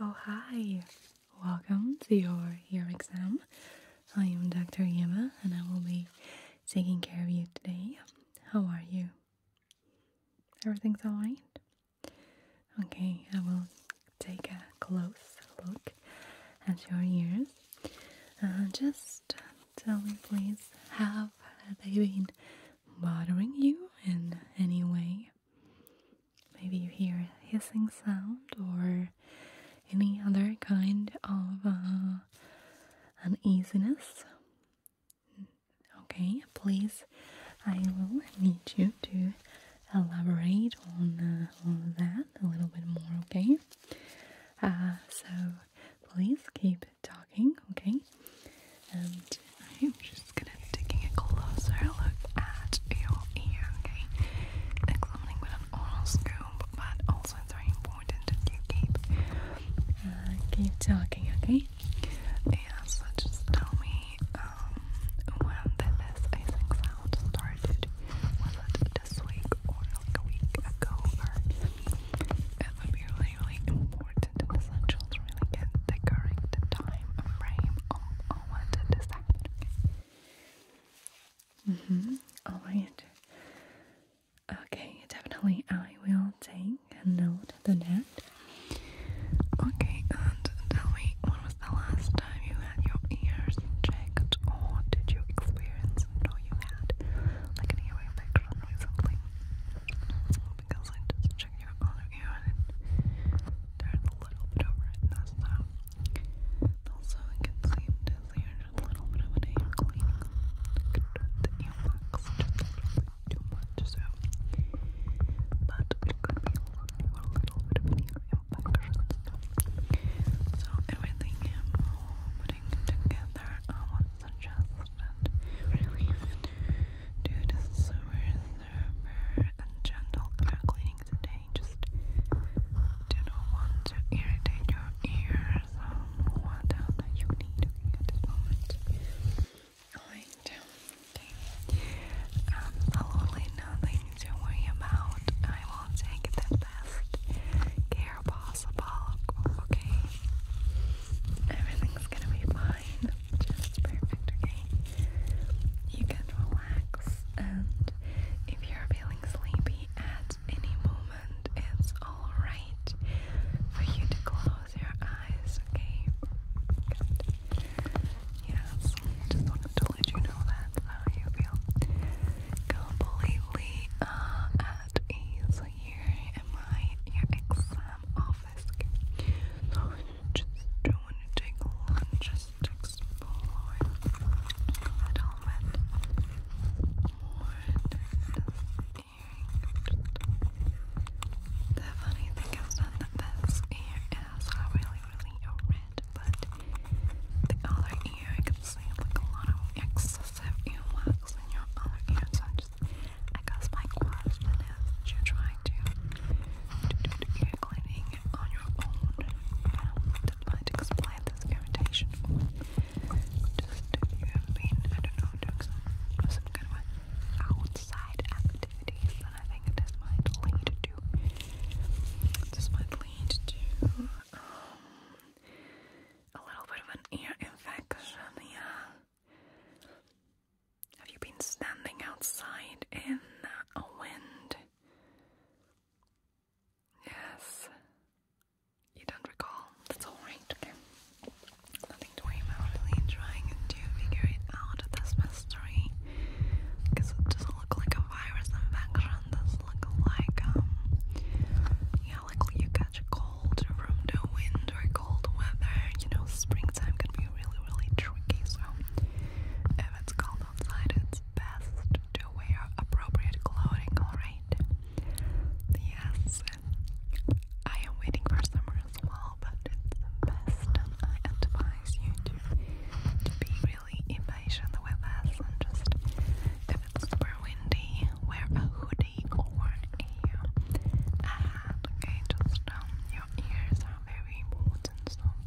Oh, hi! Welcome to your ear exam. I am Dr. Yema and I will be taking care of you today. How are you? Everything's alright? Okay, I will take a close look at your ears. Uh, just uh, tell me, please, have they been bothering you in any way? Maybe you hear a hissing sound or any other kind of uh, uneasiness. Okay, please, I will need you to elaborate on, uh, that a little bit more, okay? Uh, so, please keep talking, okay? And I'm just gonna taking a closer look at your ear, okay? Examining with an oral but also it's very important that you keep uh, keep talking, okay? Yeah, so just tell me um, when the last icing sound started. Was it this week or like a week ago? Or really, really important and really get the correct time frame on, when did this Mm-hmm. All right. Okay, definitely I will take a note of that. Okay, and tell me when was the last time you had your ears checked or did you experience or you had like an ear infection recently? Because I just checked your other ear there's a little bit of redness though. Also, I can seem to see there's a little bit of an air cleaning. The earwax But it could be a little bit of an ear infection. So, everything putting together, I would suggest that really do the sewers server gentle ear cleaning today. Just didn't want to irritate your ears. Um, what you need at this moment? Alright, okay. Absolutely um, nothing to worry about. I will take the best care possible. Okay, everything's gonna be fine. Just perfect, okay? You can relax, and if you're feeling sleepy at any moment, it's alright for you to close your eyes, okay? Yes, just wanted to let you know that, how you feel completely uh, at ease here in my exam office. just do want to take lunches the funny thing is that this ear is really, really red, but the other ear you can see like a lot of excessive earwax in your other ear. So just, I guess my question is, that you trying to do ear cleaning on your own and might explain this irritation just you have been, I don't know, doing some, kind of outside activities and I think this might lead to this might lead to um, a little bit of an ear infection, have you been standing outside in a wind? Yes. You don't recall? That's alright, okay. Nothing to worry about. Really trying to figure it out, this mystery. Because it doesn't look like a virus infection. It does like, um, yeah, like you catch a cold from the wind or cold weather. You know, springtime can be really really tricky, so if it's cold outside, it's best to wear appropriate clothing, alright? Yes, I am waiting for summer as but it's best, I advise you to, to be really impatient with us and just, if it's super windy, wear a hoodie or a hat, okay? Just, um, your ears are very important, so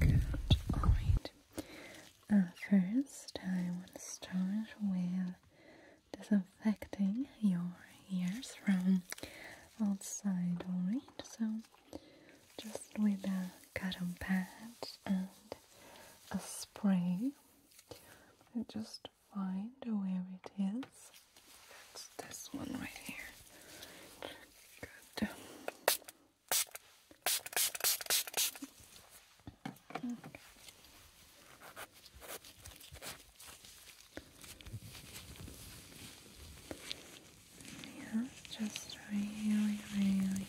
Good. All right. Uh, first, I want to start with disinfecting your ears from outside, alright? So, just with a cotton pad and a spray, you just find where it is. It's this one right here. Good. Okay. just really, really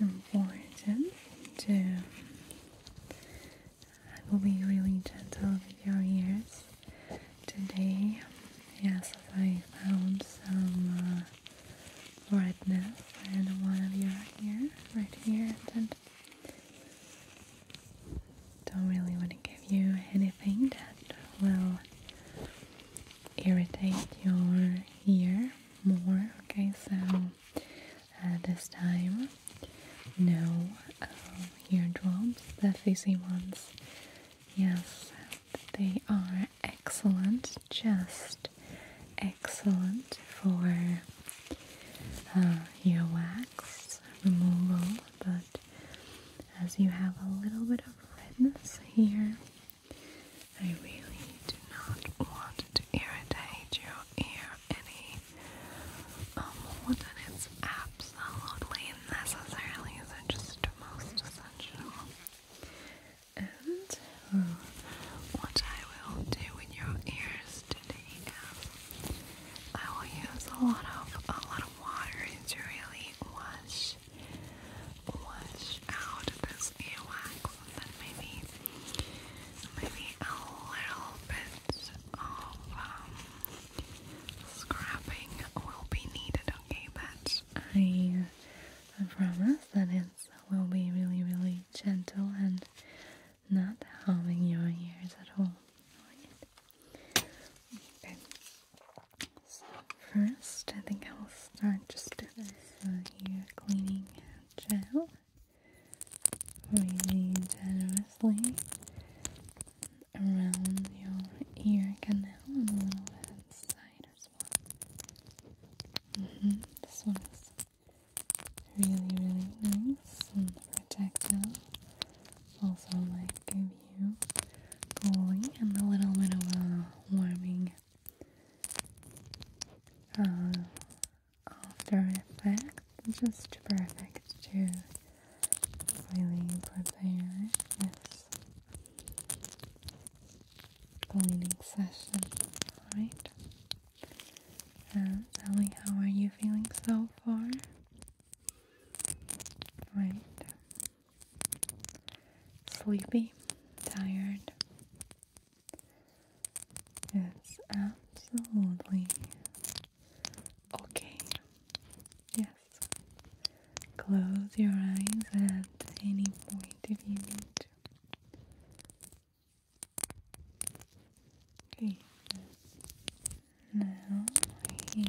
important to I will be really gentle with your ears today. Yes, I found some uh, right now and one of you right here, right here don't really want to give you anything that will irritate your ear more okay so this time no uh, eardrums the fizzy ones yes they are excellent just excellent for uh, wax removal, but as you have a little bit of redness here, I really do not want to irritate your ear any uh, more than it's absolutely necessary, so just most essential. And oh, what I will do in your ears today is I will use a lot of a lot of water to really wash wash out this earwax and then maybe maybe a little bit of um, scrapping will be needed, okay? But I I promise that is so we will be really, really gentle and not harming your ears at all. Okay. So first, I think I will start just with this uh, ear cleaning gel, really generously around your ear canal and a little bit inside as well. Mm-hmm. This one is really, really nice and protective. Also, like give you cooling and a little bit of a warming uh, after effect. Just perfect to really prepare this cleaning session. Right. And uh, Sally, how are you feeling so far? Right. Sleepy, tired. It's absolutely okay. Yes. Close your eyes at any point if you need to. Okay. Now here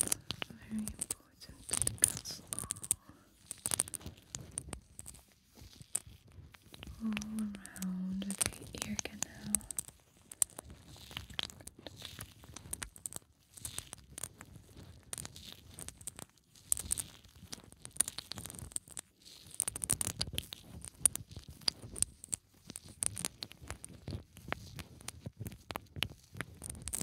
very important to cancel all around the ear canal.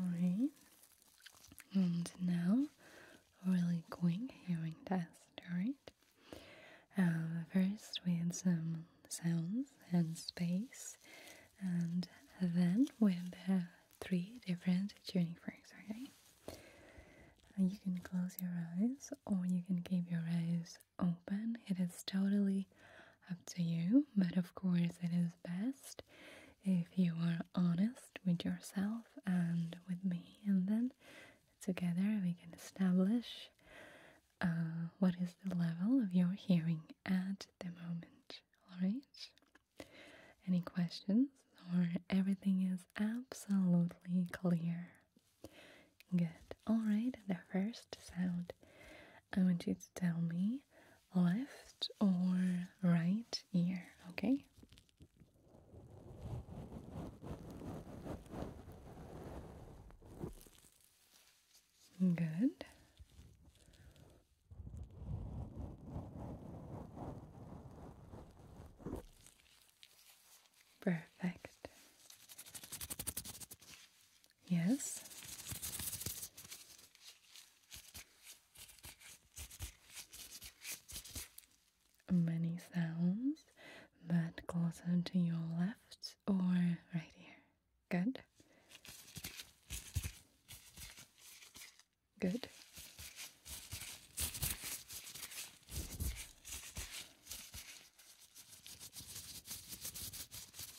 Alright, and now we really quick hearing test, alright? right. Uh, first, we with some sounds and space, and then with the three different junipers, okay? And you can close your eyes or you can keep your eyes open. It is totally up to you, but of course, it is best if you are honest with yourself and with me, and then together we can establish uh, what is the level of your hearing at the moment. All right. Any questions or everything is absolutely clear? Good. Alright, the first sound. I want you to tell me left or right ear, okay? Good. Perfect. Yes. Many sounds, but closer to your left or right ear. Good. Good.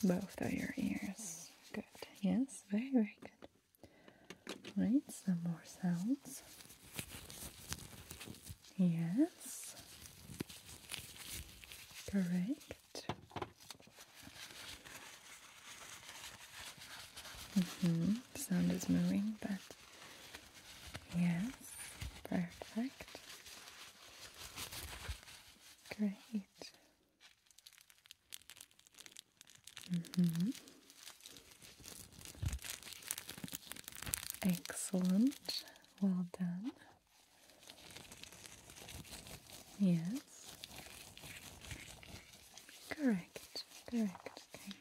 Both of your ears. Good. Yes, very, very good. Right, some more sounds. Yes. Correct. Mm hmm mm, sound is moving, but yes, perfect. Great. Mm -hmm. Excellent. Well done. Yes. Correct, correct, okay.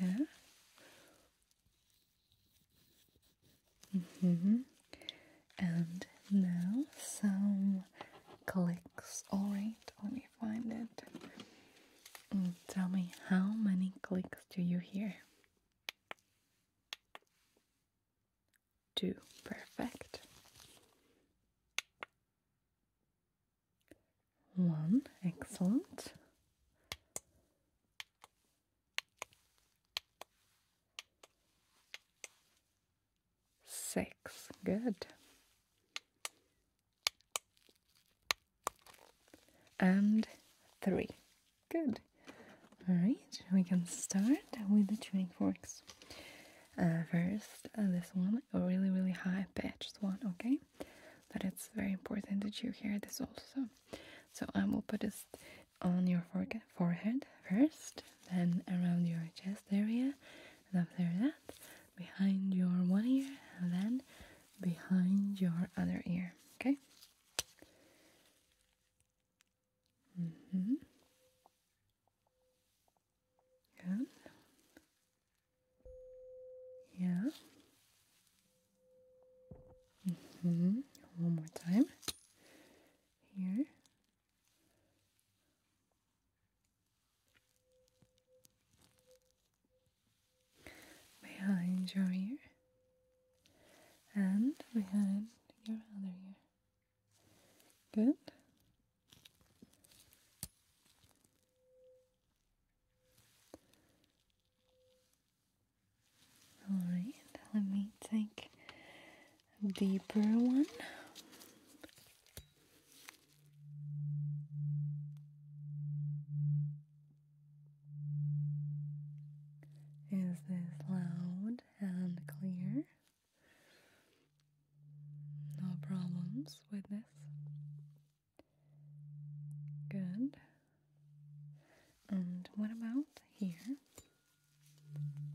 Yeah. Mm-hmm. And now some clicks. Alright, let me find it. Mm, tell me, how many clicks do you hear? two. Perfect. One, excellent. Six, good. And three, Good. Alright, we can start with the tuning forks. Uh, first, uh, this one, a really, really high pitched one, okay? But it's very important that you hear this also. So I will put this on your forehead first, then around your chest area, and after that, behind your one ear, and then behind your other ear, okay? Mm hmm. Good. Yeah. Mm hmm. One more time. Here. Behind your ear and behind your other ear. Good. All right, let me take a deeper one. Is this loud? and clear. No problems with this. Good. And what about here? Mm-hmm.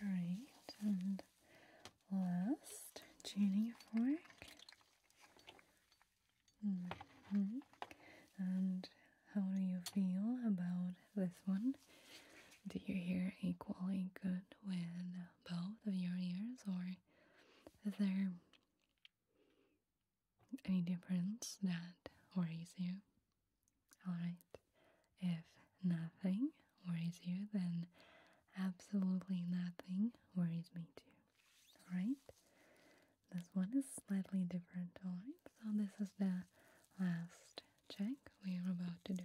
Great, and last Jenny fork Mm-hmm. And how do you feel about this one? Do you hear equally good with both of your ears, or is there any difference that worries you? Alright, if nothing worries you, then absolutely nothing worries me too. Alright, this one is slightly different, alright? So this is the last check we are about to do.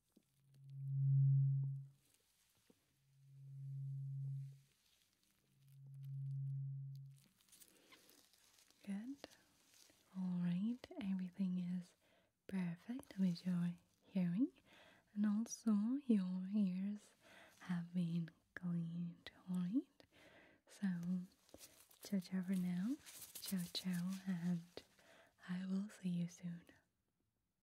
Good. Alright, everything is perfect with your hearing, and also your ears have been cleaned. Alright, so ciao ciao for now, ciao ciao, and I will see you soon.